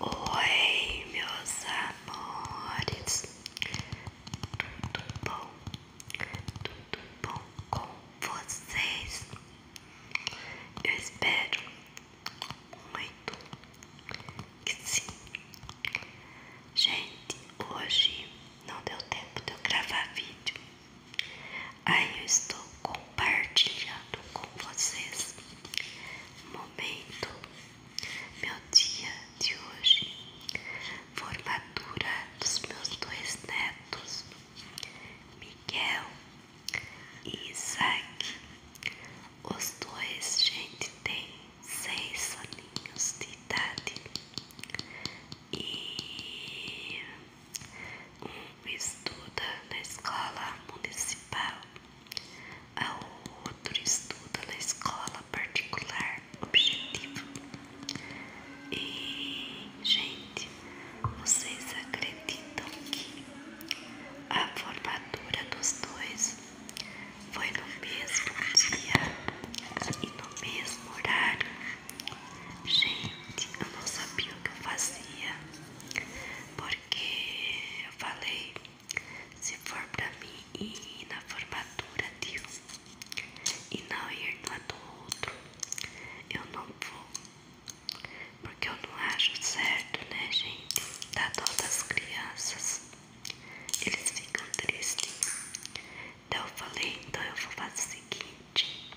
Oi, meus amores, tudo bom? Tudo bom com vocês? Eu espero muito que sim. Gente, hoje não deu tempo de eu gravar vídeo, aí eu estou com compartilhado com vocês momento, meu dia de hoje, formatura dos meus dois netos, Miguel e Isaac. Os dois, gente, têm seis aninhos de idade. E um estuda na escola municipal, a outro estuda na escola particular objetivo. E, gente, vocês acreditam que a formatura dos dois foi no mesmo dia e no mesmo horário? Gente, eu não sabia o que eu fazia. Porque eu falei, se for pra mim ir na formatura de e não ir na do outro, eu não vou. Porque eu não acho certo, né, gente? Dá dó as crianças. Eles ficam tristes. Então eu falei, então eu vou fazer o seguinte.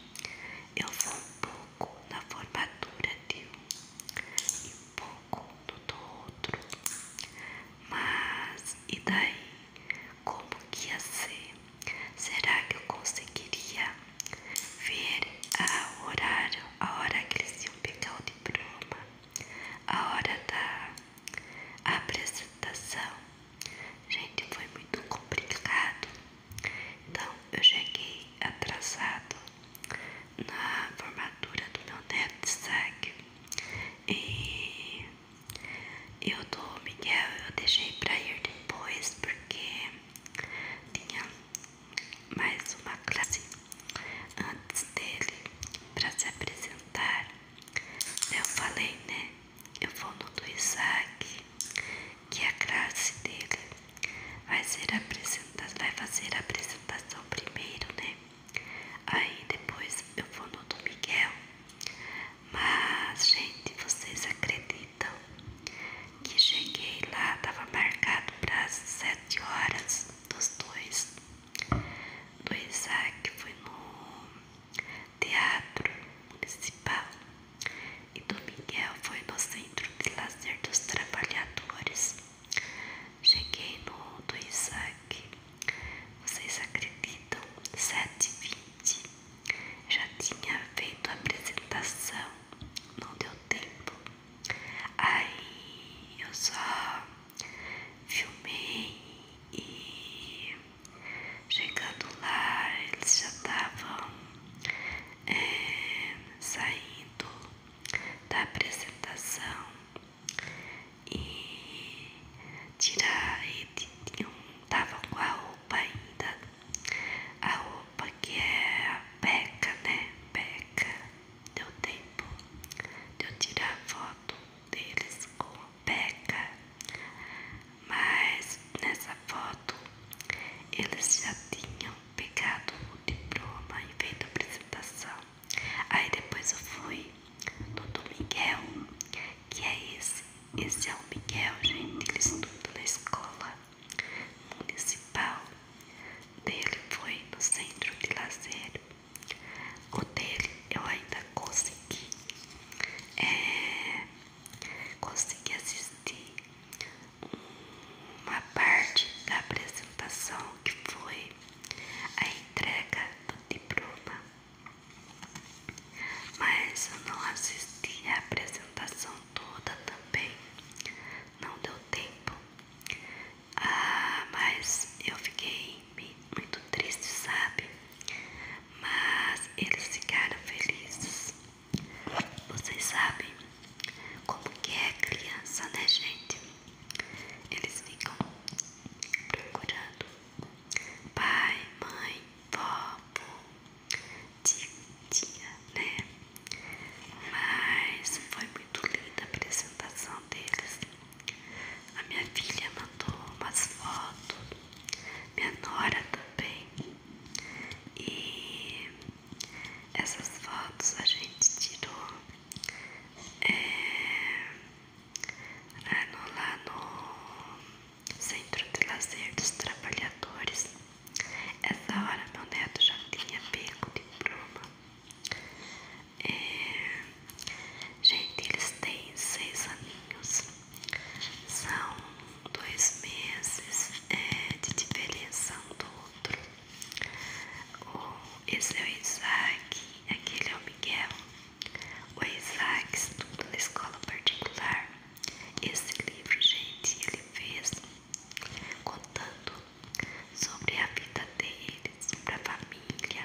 Eu vou pôr pouco na formatura de um e pouco do outro. Mas e daí? Como que ia ser? Será que eu conseguiria ver a horário, a hora que eles iam pegar de bruma, a hora da apresentação? Gente, foi muito complicado. Então eu cheguei atrasado na formatura do meu neto Isaac e eu do Miguel eu deixei pra ir depois porque tinha mais uma classe antes dele pra se apresentar. Eu falei, né? eu vou no do Isaac, que é a classe dele vai, ser apresenta vai fazer a apresentação primeiro, né? Aí depois eu vou no do Miguel. Mas, gente, vocês acreditam que cheguei lá, tava marcado para as 7 horas dos dois. Do Isaac foi no Teatro Municipal e do Miguel foi no Centro de Lazer dos Trabalhadores. Cheguei no do Isaac. Vocês acreditam? 7h20. Já tinha feito a apresentação. Não deu tempo. Aí eu só filmei e Chegando lá, eles já estavam é, saindo da apresentação e tirar e estavam um, com a roupa ainda, a roupa que é a beca, né? Beca, deu tempo de eu tirar a foto deles com Peca. Mas nessa foto eles já tinham pegado o diploma e feito a apresentação. Aí depois eu fui no do Miguel, que é esse. Esse é o Miguel, gente. Ele estudou na escola municipal dele, foi no centro de lazer. O dele eu ainda consegui, é, consegui assistir uma parte da apresentação que foi a entrega do diploma, mas eu não assisti a apresentação toda também, não deu tempo. Ah, mas eu fiquei muito triste, sabe? Mas eles ficaram felizes. Vocês sabem como que é criança, né, gente? Eles ficam procurando pai, mãe, vó, tia, tia, né? Mas foi muito linda a apresentação deles. A minha filha mandou umas fotos, minha nora também. E essas fotos a gente tirou é, né, lá no Centro de Lazer dos Trabalhadores. Essa hora meu neto já tinha pego de pluma. É, gente, eles têm seis aninhos, são dois meses é, de diferença um do outro. O, esse é o Isaac, aquele é o Miguel. O Isaac estuda na escola particular. Esse livro, gente, ele fez contando sobre a vida deles, sobre a família.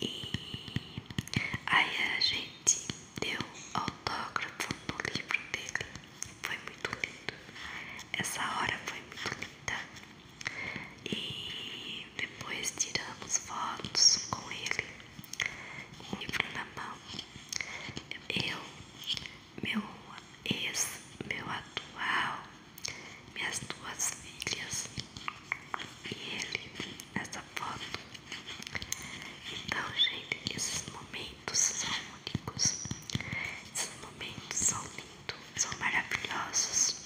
E aí a gente deu autógrafo no livro dele. Foi muito lindo. Essa hora foi muito linda. E depois tiramos fotos com ele, com o livro na mão. Eu, meu ex, meu atual, minhas duas filhas e ele nessa foto. Então, gente, esses momentos são únicos, esses momentos são lindos, são maravilhosos.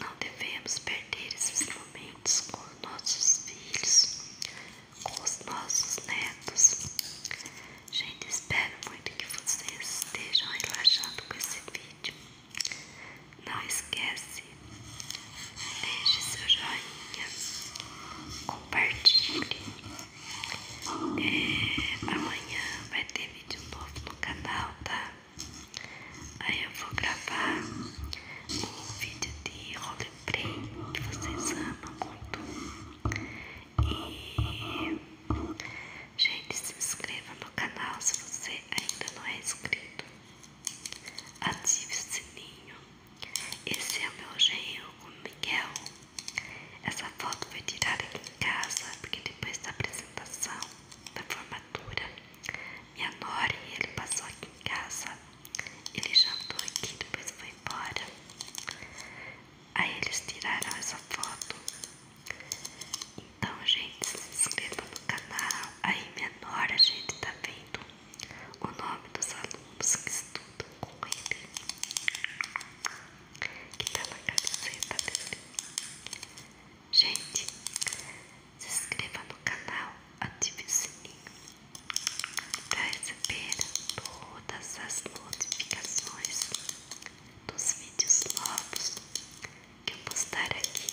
Não devemos perder esses momentos com nossos filhos, com os nossos netos. Gente, espero muito que vocês estejam relaxando com esse vídeo. Não esquece, deixe seu joinha, compartilhe. É, amanhã vai ter vídeo novo no canal, tá? Aí eu vou gravar um vídeo de roleplay que vocês amam muito. E, gente, se inscreva no canal se você ainda não é inscrito. Ative o sininho. Esse é o meu genro, o Miguel. Essa foto foi tirada aqui em casa, porque depois da apresentação, da formatura, minha nora ele passou aqui em casa. Ele jantou aqui, depois foi embora. Aí eles tiraram essa foto. Então, gente, se inscreva no canal. Aí menor a gente, tá vendo o nome dos alunos que estudam com ele. Que tá na camiseta dele. Gente, se inscreva no canal, ative o sininho para receber todas as notificações dos vídeos novos que eu postar aqui.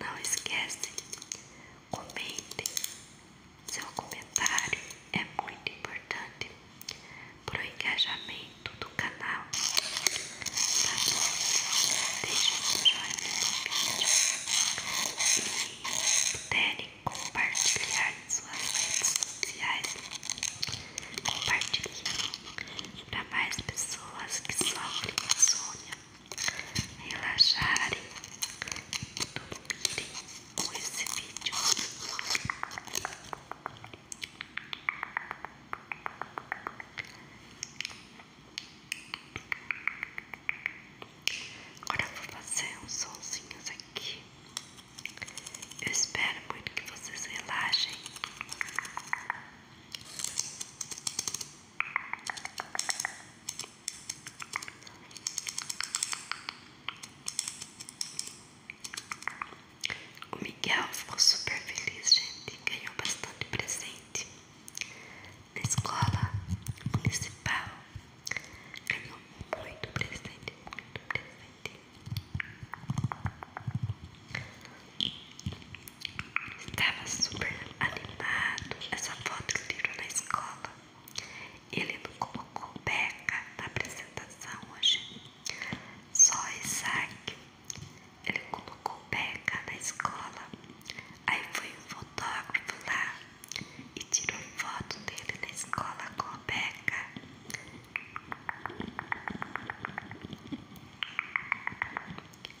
Não esquece, comente. Seu comentário é muito importante para o engajamento do canal. Tá bom? Deixe o seu joinha no vídeo. E puderem compartilhar em suas redes sociais. Compartilhe para mais pessoas que sofrem insônia, relaxarem, dormirem com esse vídeo. Agora eu vou fazer uns sonzinhos aqui. Eu espero muito que vocês relaxem. O Miguel ficou super feliz, gente. Ganhou bastante presente na escola municipal. Ganhou muito presente, muito presente. Estava super animado. Essa foto que tirou na escola. Ele não colocou beca na apresentação hoje. Só Isaac ele colocou beca na escola. Aí foi um fotógrafo lá e tirou foto dele na escola com a beca.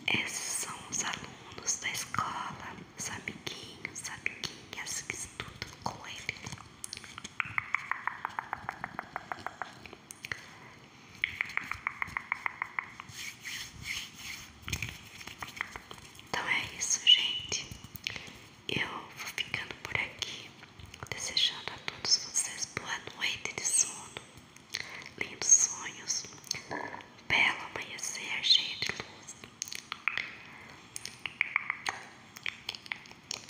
Esses são os alunos da escola, os amiguinhos, amiguinhas que estudam com ele. Então é isso, gente. Eu vou ficando por aqui, desejando a todos vocês boa noite de sono, lindos sonhos, belo amanhecer cheio de luz.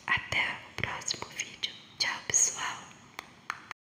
Até o próximo vídeo. Tchau, pessoal.